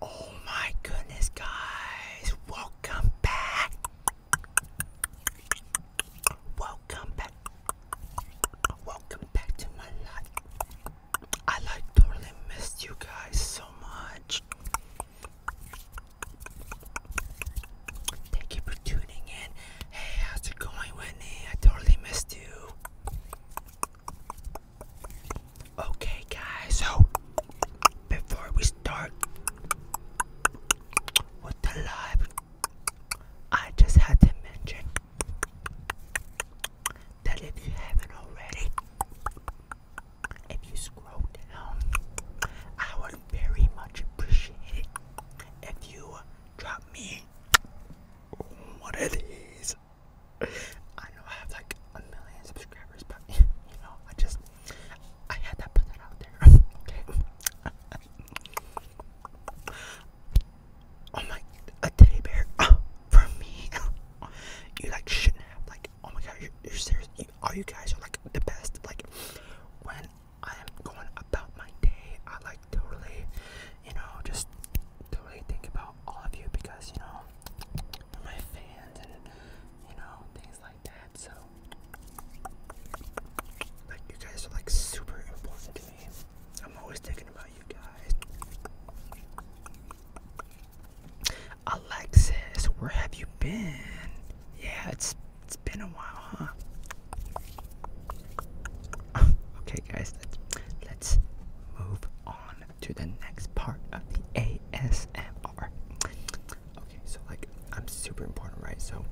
Oh my goodness, guys, welcome back. Welcome back. Welcome back to my life. I like totally missed you guys so much. Thank you for tuning in. Hey, how's it going, Whitney? I totally missed you. Okay, guys, so before we start with the live, I just had to mention that if you haven't already, if you scroll down, I would very much appreciate it if you drop me one of these I know I have like a million subscribers, but you know, I just I had to put that out there. okay. oh my, a teddy bear oh, for me. you like shouldn't have like. Oh my god, you're, you're serious. all you guys are like the best. Like when I am going about my day, I like totally you know, just to think about all of you because, you know, my fans and, you know, things like that. So, like, you guys are like super important to me. I'm always thinking about you guys. Alexis, where have you been? Yeah, it's it's been a while, huh? okay, guys, let's let's move on to the next part of the ASMR. Okay, so like I'm super important, right? So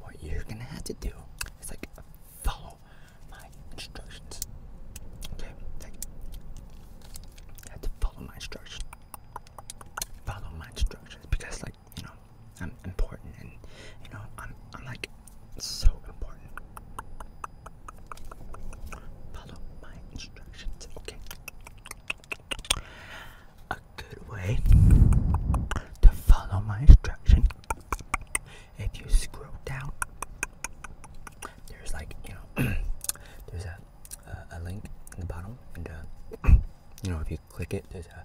what you're gonna have to do is like follow my instructions. Okay, like you have to follow my instructions. Follow my instructions because like you know I'm important and you know I'm I'm like it's so important. Follow my instructions, okay? A good way to follow my instruction. If you scroll down, there's like you know, there's a, a link in the bottom, and uh, you know if you click it, there's a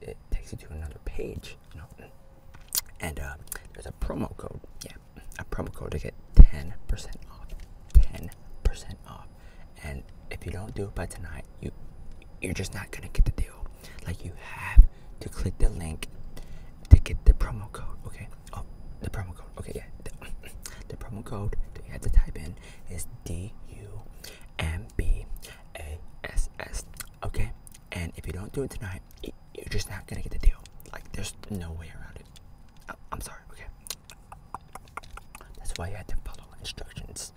it, takes you to another page. And uh, there's a promo code. Yeah, a promo code to get 10% off. 10% off. And if you don't do it by tonight, you you're just not gonna get the deal. Like you have to click the link to get the promo code. Okay. Oh, the promo code. Okay, yeah. The, the promo code that you have to type in is D U M B A S S. Okay. And if you don't do it tonight, it, you're just not gonna get the deal. Like, there's no way around it. I, oh, I'm sorry, okay? That's why you had to follow instructions.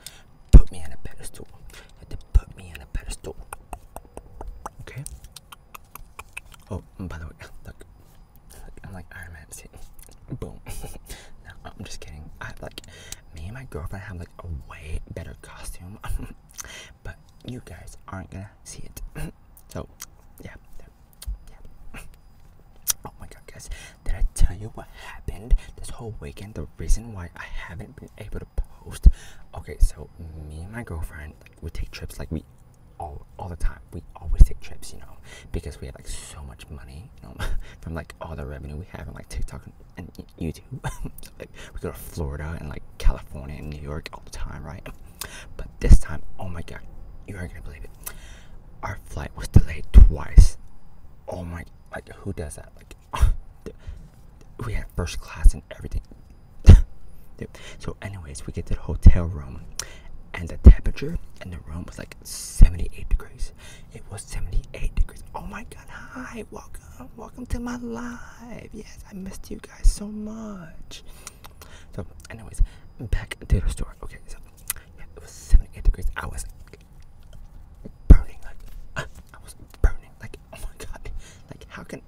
Put me on a pedestal. You had to put me on a pedestal. Okay? Oh, by the way, look. look I'm like Iron Man. See? Boom. no, I'm just kidding. I like, me and my girlfriend have like a way better costume. but you guys aren't gonna see it. so, yeah, yeah. oh my god, guys, did I tell you what happened this whole weekend? The reason why I haven't been able to post. Okay, so me and my girlfriend, would take trips like we all, all the time. We always take trips, you know, because we have like so much money, you know, from like all the revenue we have on like TikTok and YouTube. like we go to Florida and like California and New York all the time, right? But this time, oh my god, you are gonna believe it. Our flight was delayed twice. Oh my, like who does that? Like we had first class and everything. So, anyways, we get to the hotel room, and the temperature in the room was like 78 degrees. It was 78 degrees. Oh my god! Hi, welcome welcome, to my live. Yes, I missed you guys so much. So, anyways, back to the store. Okay, so it was 78 degrees. I was burning like uh, I was burning like oh my god, like how can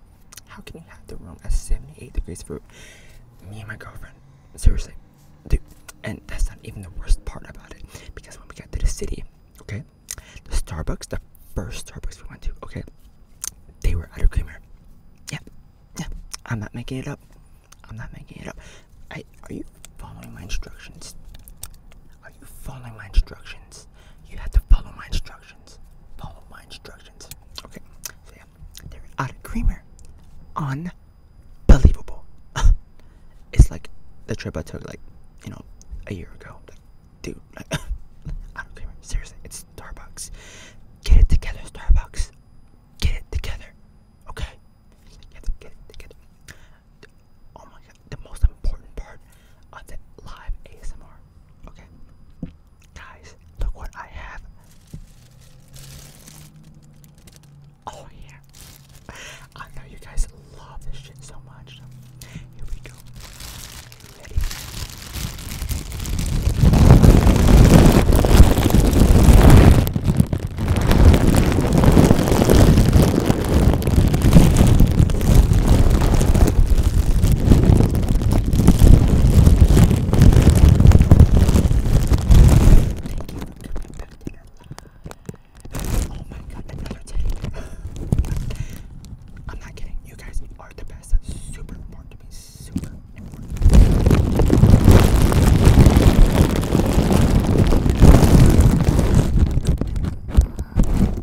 how can you have the room at 78 degrees for me and my girlfriend? Seriously, dude. And that's not even the worst part about it because when we got to the city, okay, the Starbucks, the first Starbucks we went to, okay, they were out of creamer. Yeah, yeah, I'm not making it up. I'm not making it up. are you following my instructions? Are you following my instructions? You have to follow my instructions. Follow my instructions. Okay, so yeah, they're out of creamer on believable. it's like the trip I took, like, you know, a year ago. Like, dude, like, I don't care. Seriously, it's Starbucks. Get it together, Starbucks. Get it together. Okay? Get it, get it together. Oh my god, the most important part of live ASMR. Okay? Guys, look what I have. Oh yeah. I know you guys love this shit so much. here we go. Ready? Oh my god, another take. I'm not kidding. You guys are the best. super important Super important.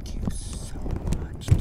Thank you so much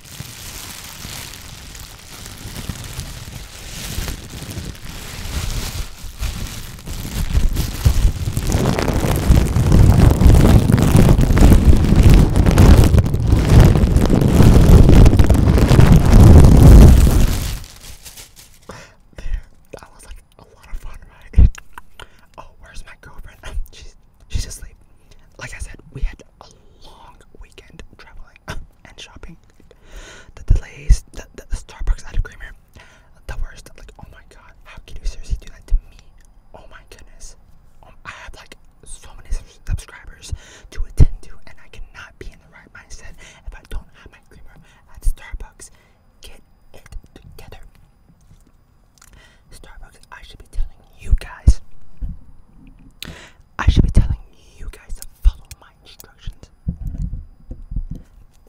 There, that was like a lot of fun, right? Oh, where's my girlfriend? She's she's asleep. Like I said, we had a long weekend traveling and shopping. The delays, the, the, Starbucks out of creamer, the worst. Like, oh my god, how can you seriously do that to me? Oh my goodness. Um, I have like so many subscribers to attend to, and I cannot be in the right mindset if I don't have my creamer at Starbucks. Get it together. Starbucks, I should be telling you guys. I should be telling you guys to follow my instructions.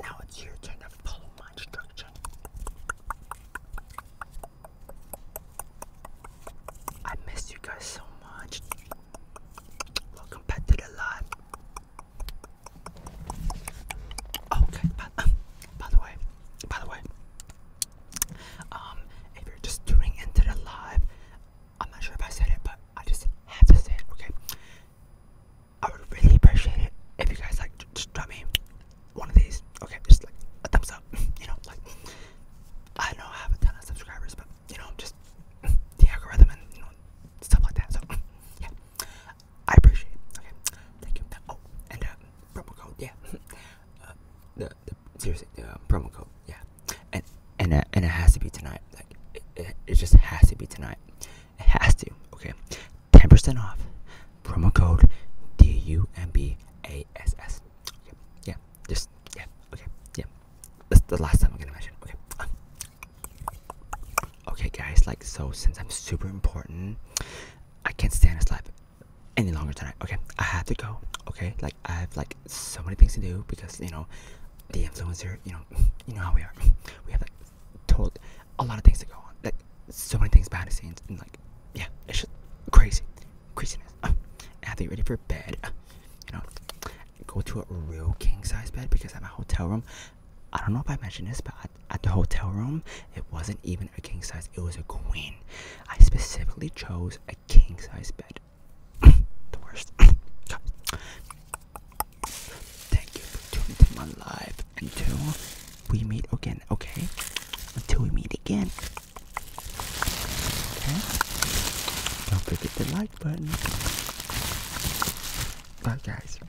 Now it's your turn to follow my instruction. I miss you guys so much. Welcome back to the live. Okay, by the way, by the way, um, if you're just tuning into the live, I'm not sure if I said it, but I just had to say it, okay? I would really appreciate it if you guys like just drop me one of these, okay? Just like a thumbs up, you know? Like, I know I have a ton of subscribers, but you know, just the algorithm and you know, stuff like that. So, yeah, I appreciate it, okay? Thank you. Oh, and uh, promo code, yeah. Uh, seriously, um, promo code, yeah. And and uh, and it has to be tonight. Like it, it, just has to be tonight. It has to. Okay, ten percent off. Promo code D U M B A S S. Yeah. Just yeah. Okay. Yeah. That's the last time I'm gonna mention. Okay. Okay, guys. Like so, since I'm super important, I can't stand this life any longer tonight. Okay, I have to go. Okay, like I have like so many things to do because you know the influencer. You know, you know how we are. We have like told a lot of things to go on. Like so many things behind the scenes and like yeah, it's just crazy, crazy. Uh, I have to get ready for bed. Uh, you know, go to a real king size bed because I'm a hotel room I don't know if I mentioned this, but at, the hotel room, it wasn't even a king size, it was a queen. I specifically chose a king size bed. the worst. Thank you for tuning to my live until we meet again, okay? Until we meet again. Don't forget the like button. Bye, guys.